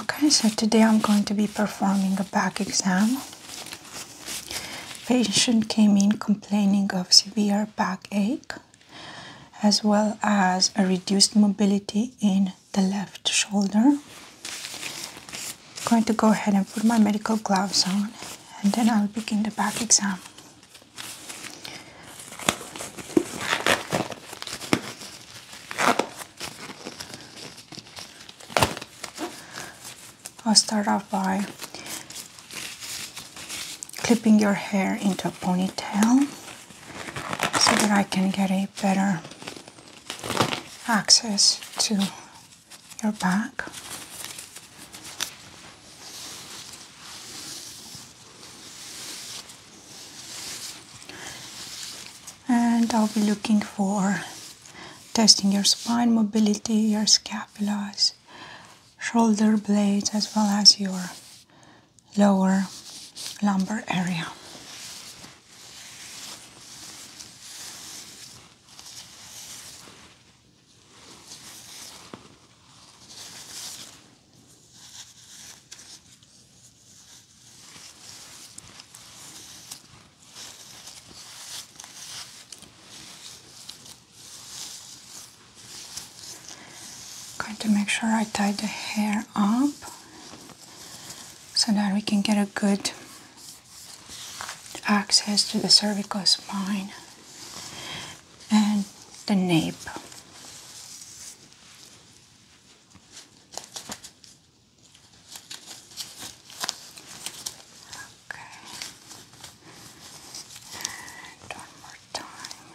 Okay, so today I'm going to be performing a back exam. Patient came in complaining of severe back ache, as well as a reduced mobility in the left shoulder. I'm going to go ahead and put my medical gloves on and then I'll begin the back exam. I'll start off by clipping your hair into a ponytail so that I can get a better access to your back and I'll be looking for testing your spine mobility, your scapulas, shoulder blades, as well as your lower lumbar area. Going to make sure I tie the hair up so that we can get a good access to the cervical spine and the nape. Okay. And one more time.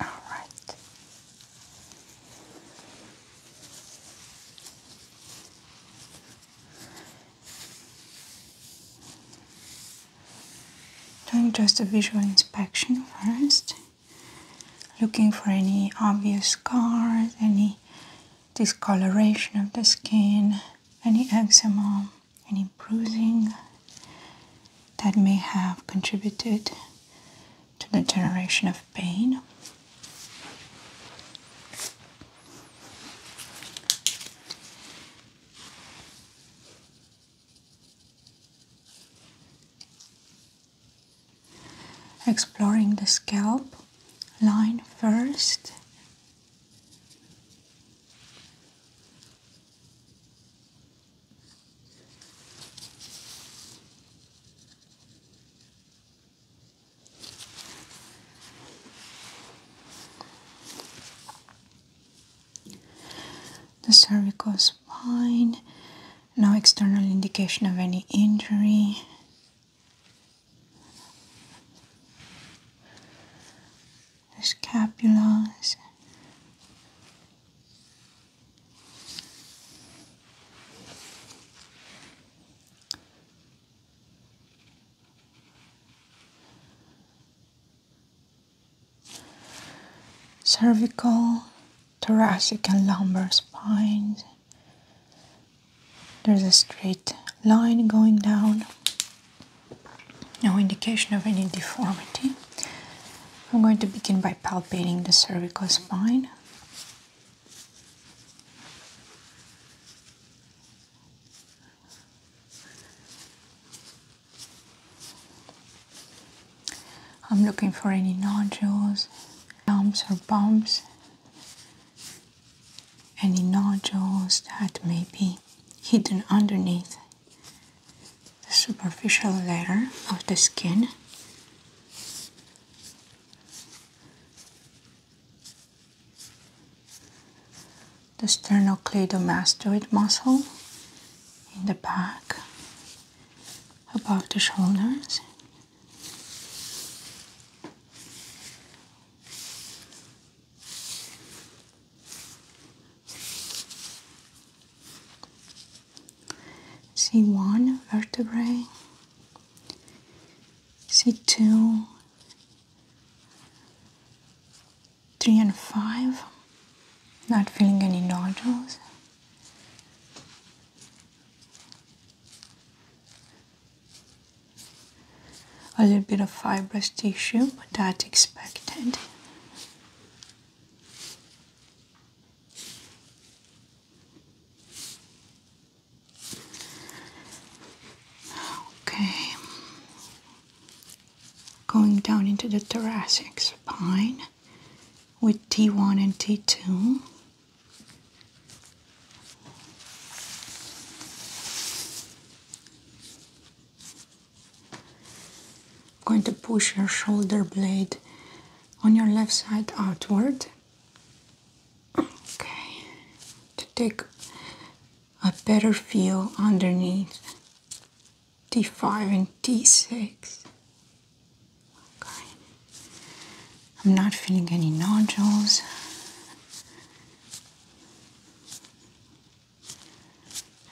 All right. Doing just a visual inspection first, looking for any obvious scars, any discoloration of the skin, any eczema, any bruising that may have contributed to the generation of pain. Exploring the scalp line first. The cervical spine, no external indication of any injury. The scapulae cervical, thoracic, and lumbar spines. There's a straight line going down. No indication of any deformity. I'm going to begin by palpating the cervical spine. I'm looking for any nodules, lumps or bumps, any nodules that may be hidden underneath the superficial layer of the skin the sternocleidomastoid muscle in the back above the shoulders. C1 vertebrae, C2 3 and 5, not feeling any nodules. A little bit of fibrous tissue, but that's expected. Okay, going down into the thoracic spine with T1 and T2. going to push your shoulder blade on your left side outward. Okay, to take a better feel underneath d5 and d6. I'm not feeling any nodules.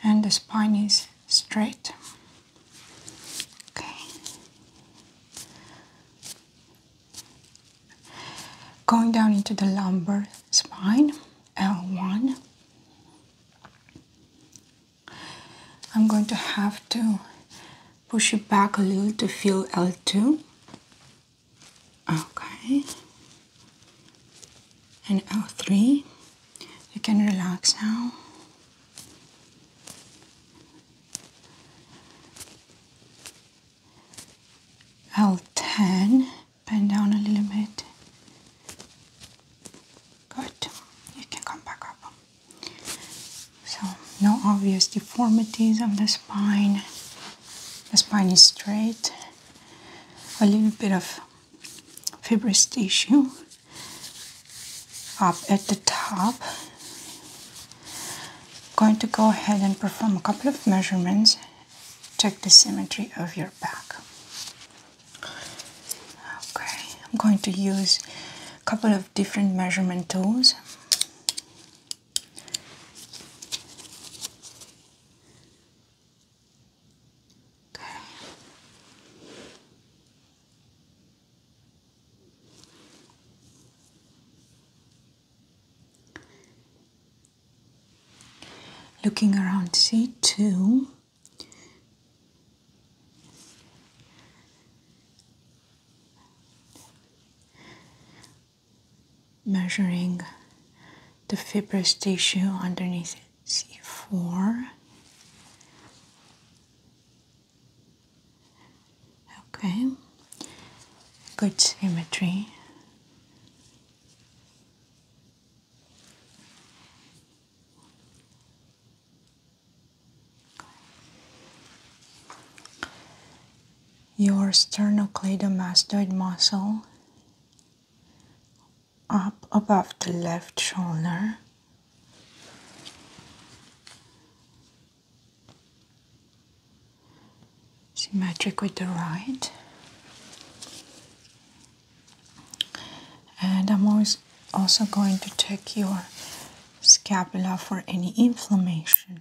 And the spine is straight. Okay. Going down into the lumbar spine, L1. I'm going to have to push it back a little to feel L2. Okay. And L3. You can relax now. L10 bend down a little bit. Good. You can come back up. So, no obvious deformities of the spine. The spine is straight. A little bit of fibrous tissue up at the top. Going to go ahead and perform a couple of measurements. Check the symmetry of your back. Okay, I'm going to use a couple of different measurement tools. Okay. Looking around see 2 measuring the fibrous tissue underneath C4. Okay, good symmetry. Your sternocleidomastoid muscle up above the left shoulder. Symmetric with the right, and I'm also going to check your scapula for any inflammation.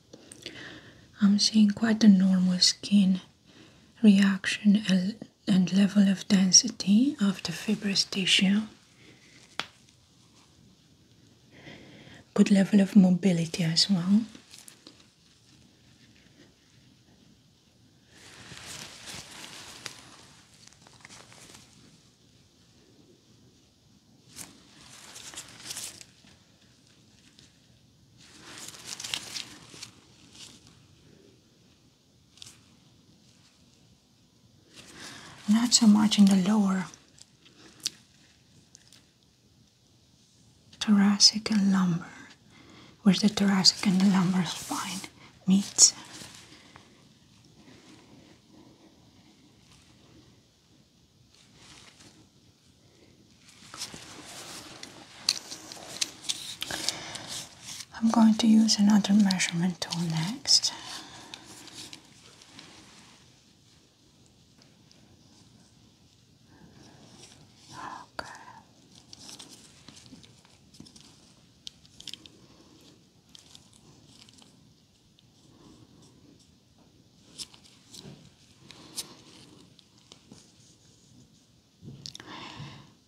I'm seeing quite a normal skin reaction and level of density of the fibrous tissue. Good level of mobility as well. Not so much in the lower thoracic and lumbar, where the thoracic and the lumbar spine meet. I'm going to use another measurement tool next. Okay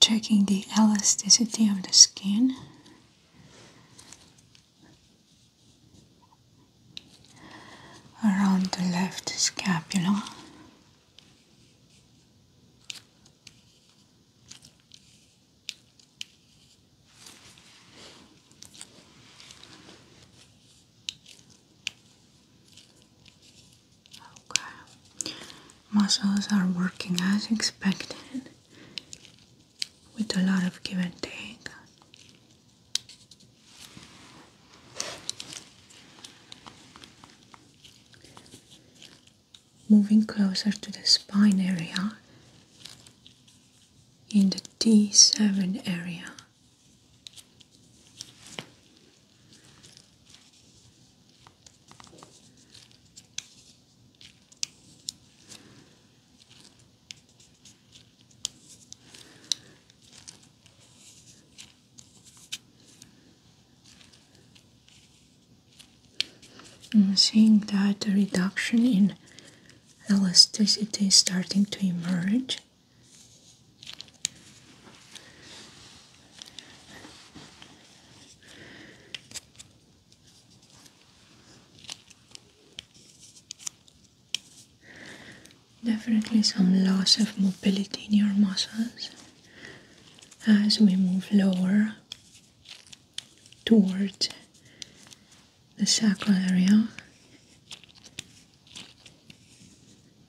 checking the elasticity of the skin. around the left scapula. Okay. Muscles are working as expected with a lot of give and take. Moving closer to the spine area in the T7 area. I'm seeing that a reduction in elasticity is starting to emerge. Definitely some loss of mobility in your muscles as we move lower towards the sacral area.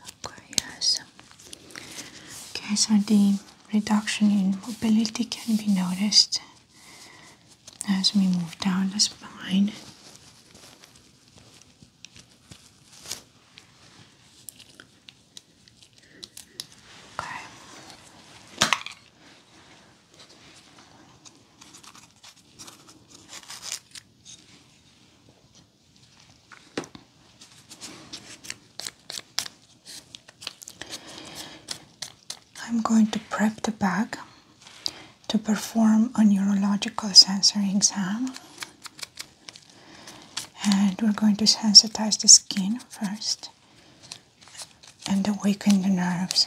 Okay, yes. Okay, so the reduction in mobility can be noticed as we move down the spine. Okay. I'm going to prep the bag to perform a neurological sensory exam. And we're going to sensitize the skin first and awaken the nerves.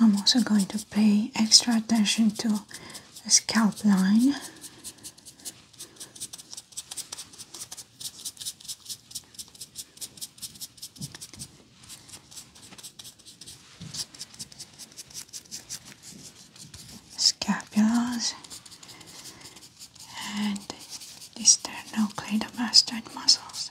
I'm also going to pay extra attention to the scalp line. Scapulas and the sternocleidomastoid muscles.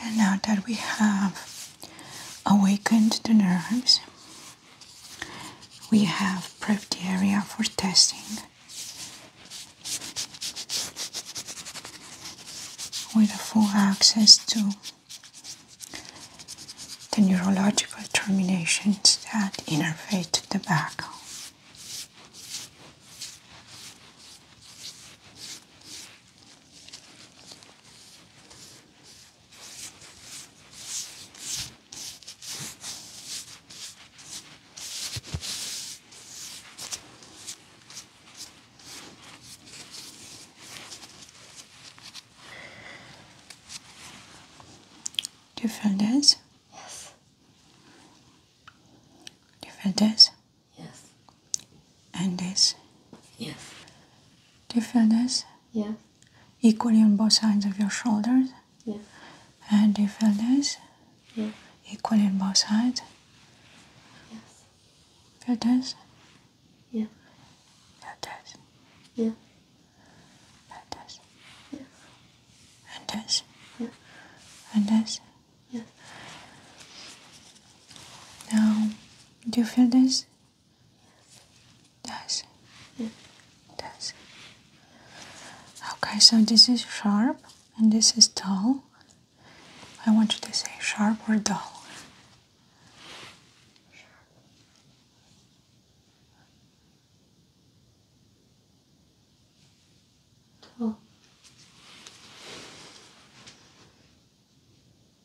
And now that we have awakened the nerves, we have prepped the area for testing with a full access to the neurological terminations that innervate the back. Do you feel this? Yes. Do you feel this? Yes. And this? Yes. Do you feel this? Yes equally on both sides of your shoulders. Yeah. And you feel this? Yeah. Equally on both sides. Yes. Feel this? Yeah. Feel this? Yeah. Feel this? Yeah. And this? Yeah. And this? Yeah. Now, do you feel this? Yes. Yes. Okay, so this is sharp and this is dull. I want you to say sharp or dull. Dull.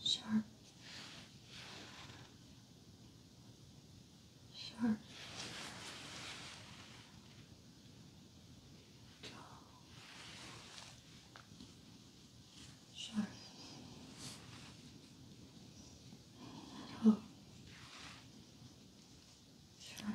sharp, sharp, tall, sharp, tall, Sharp,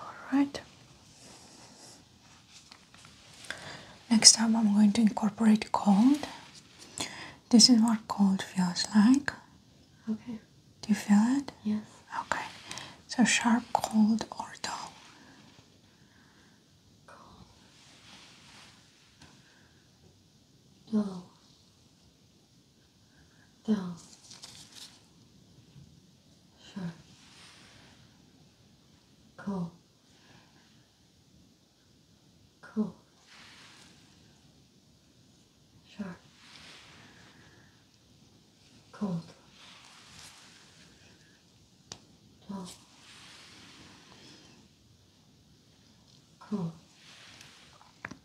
Alright. Next time I'm going to incorporate cold. This is what cold feels like. Okay. Do you feel it? Yes. Okay. So sharp, cold, or dull? Cold down. Sure. Cool. Cool. Sure. Cool. Dull. Cool.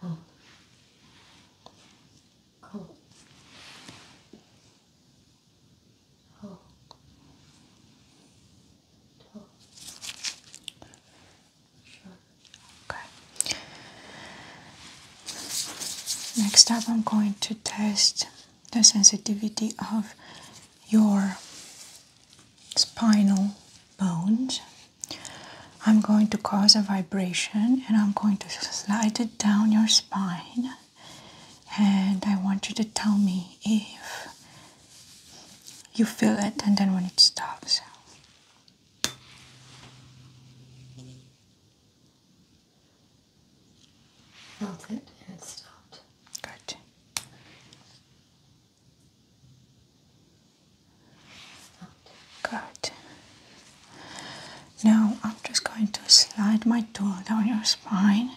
Okay. Next up, I'm going to test the sensitivity of your spinal bones I'm going to cause a vibration and I'm going to slide it down your spine. And I want you to tell me if you feel it and then when it stops. Felt it and it stopped. Good. Good. Now I'm just going to slide my tool down your spine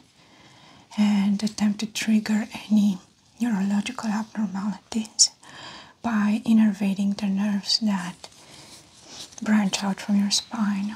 and attempt to trigger any neurological abnormalities by innervating the nerves that branch out from your spine.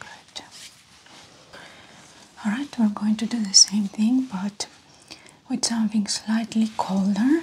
Good. All right, we're going to do the same thing, but with something slightly colder.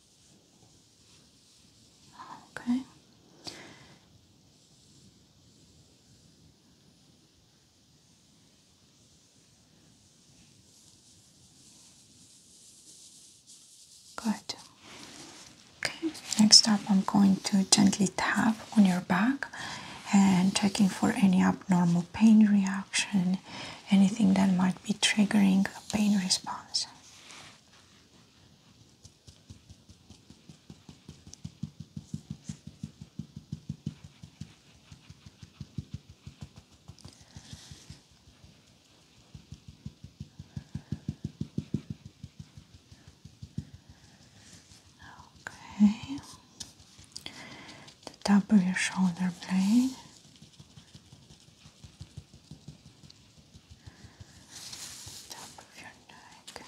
Okay. Good. Okay, next up, I'm going to gently tap on your back and checking for any abnormal pain reaction, anything that might be triggering a pain response. Okay, the top of your shoulder blade top of your neck.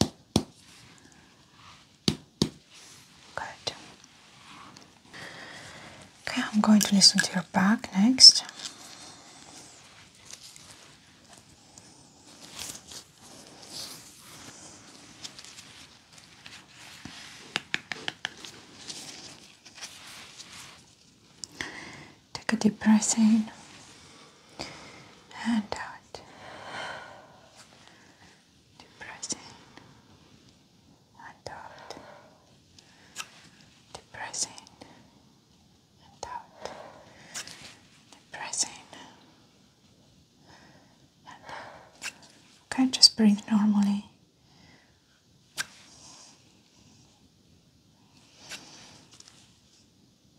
Good. Okay, I'm going to listen to your back next. Take a deep breath in and out. Deep and out. Deep and out. Deep and Okay, just breathe normally.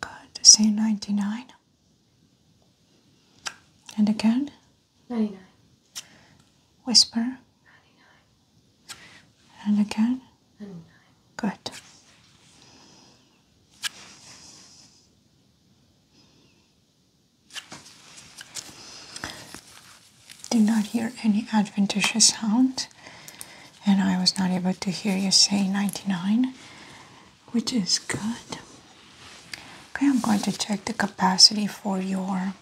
Good. The same 99. And again? 99. Whisper? 99. And again? 99. Good. Did not hear any adventitious sound and I was not able to hear you say 99, which is good. Okay, I'm going to check the capacity for your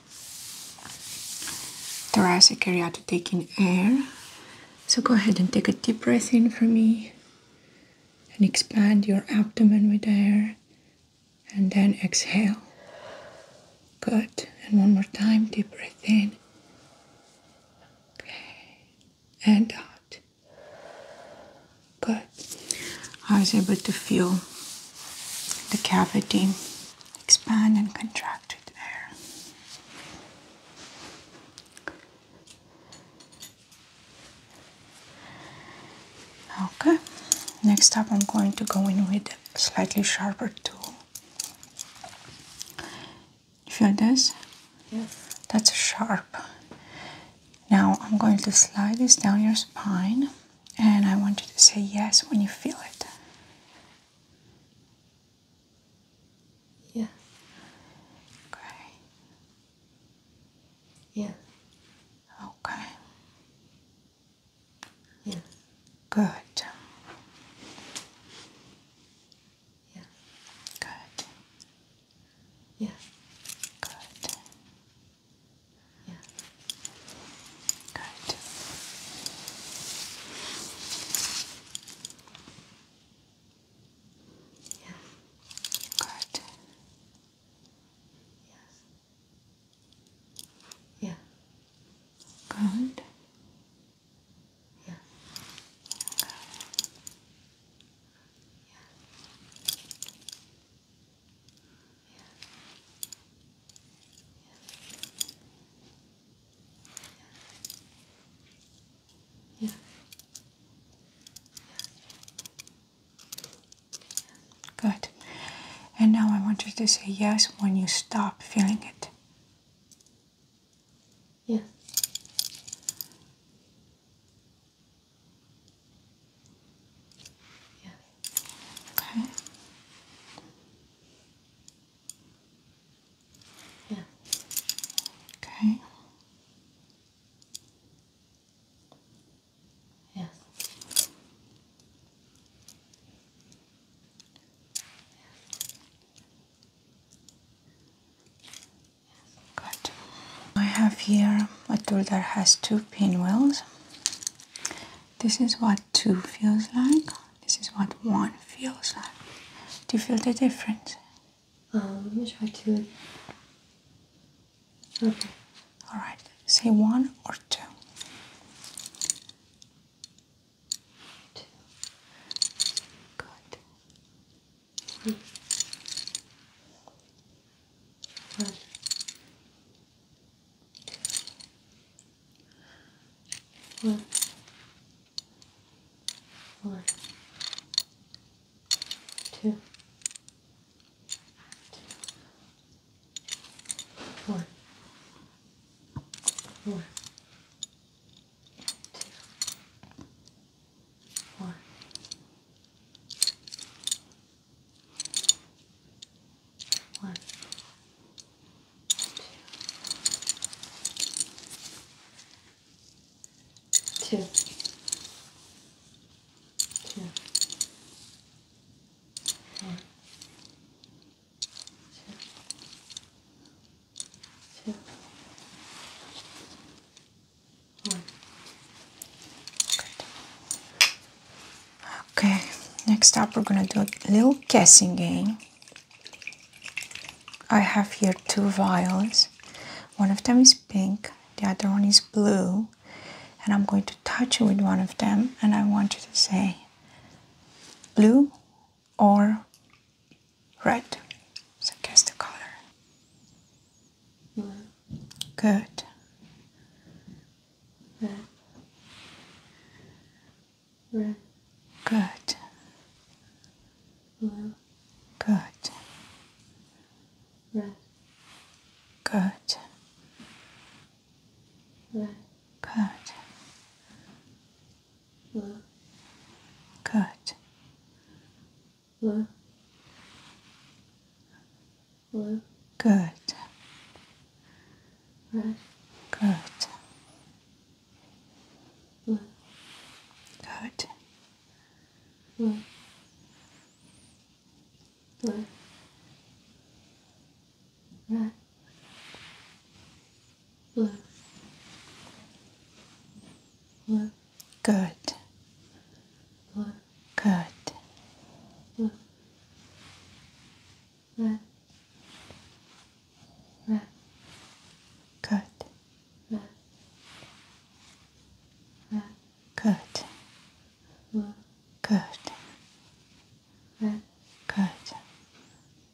thoracic area to take in air. So go ahead and take a deep breath in for me and expand your abdomen with air and then exhale. Good. And one more time, deep breath in Okay. And out. Good. I was able to feel the cavity expand and contract with air. Okay. Next up, I'm going to go in with a slightly sharper tool you feel this? Yes. That's sharp. Now I'm going to slide this down your spine and I want you to say yes when you feel it. Yeah. Okay. Yeah. Okay. Yeah. Good. Yeah. Good. Yeah. Good. Yeah. Good. Yeah. Good. Yeah. Good. Yeah. Yeah. Yeah. Yeah. Yeah. Good. And now I want you to say yes when you stop feeling it. Yeah. Yeah. Okay. Yeah. Okay. yes. Good. I have here a tool that has two pinwheels. This is what two feels like. This is what one feels like. Do you feel the difference? Um, let me try two. Okay. All right. Say one or two two, good, three, one, two, one, one, two, four, four four, one, two, two, two, four. Okay, next up we're gonna do a little guessing game. I have here two vials. One of them is pink, the other one is blue, and I'm going to touch it with one of them, and I want you to say blue or Red. So guess the color. Blue. Good. Red. Red. Good. Blue. Good. Red. Good. Red. Good. No. Good. No. Blue. Good. Red. Good. Blue. Good. Blue. Blue. Red. Left. Left. Good. Left. Good. Left. Left. Left. Good. Left. Left. Good. Left. Good. Left. Good.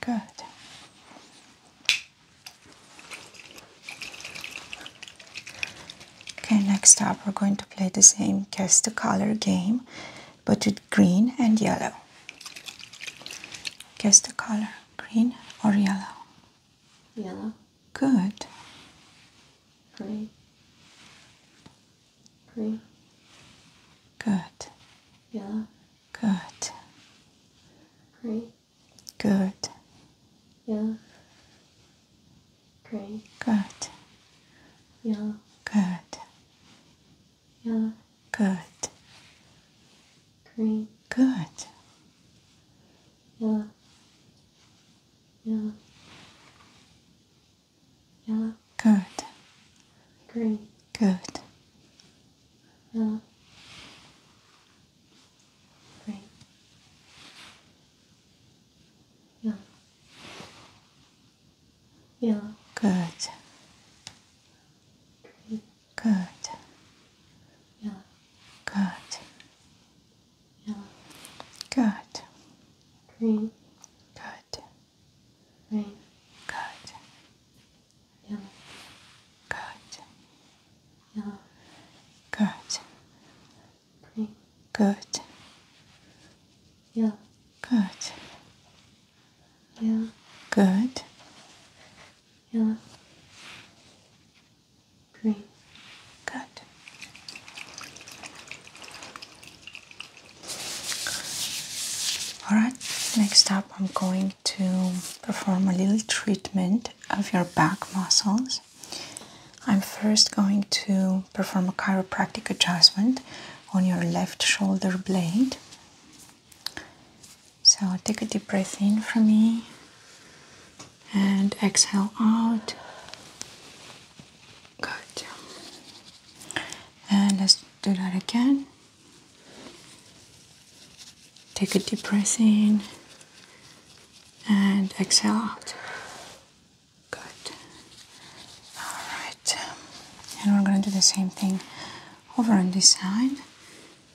Good. Okay, next up we're going to play the same guess the color game, but with green and yellow. Guess the color, green or yellow? Yellow. Good. Green. Green. Good. Yellow. Good. Green. Good. Yeah. Great. Good. Yeah. Good. Yeah. Good. Great. Good. Yeah. Yeah. Yeah. Good. Great. Good. Now, three. Yeah. Good. Good. Yeah. Good. Yeah. Good. Green. Good. Green. Good. Yeah. Good. Yeah. Good. Green. Good. Yeah. Good. Yeah. Good. Yellow. Green. Good. All right. Next up. I'm going to perform a little treatment of your back muscles. I'm first going to perform a chiropractic adjustment on your left shoulder blade. So take a deep breath in from me and exhale out. Good. And let's do that again. Take a deep breath in and exhale out. Good. Alright. Um, and we're going to do the same thing over on this side.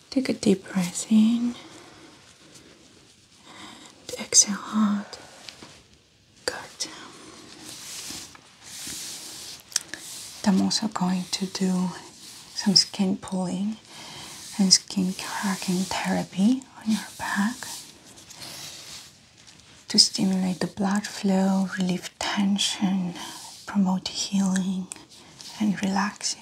Take a deep breath in and exhale out. Good. I'm also going to do some skin pulling and skin cracking therapy on your back to stimulate the blood flow, relieve tension, promote healing, and relax you.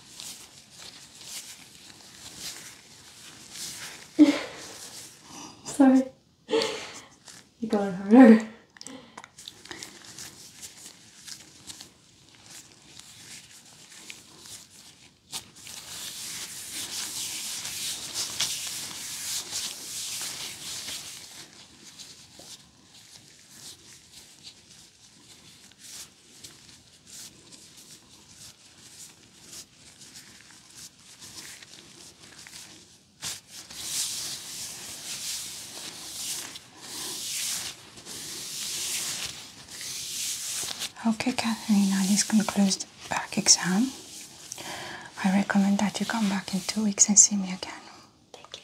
Sorry. You're going harder. Okay, Katharina, this concludes the back exam. I recommend that you come back in two weeks and see me again. Thank you.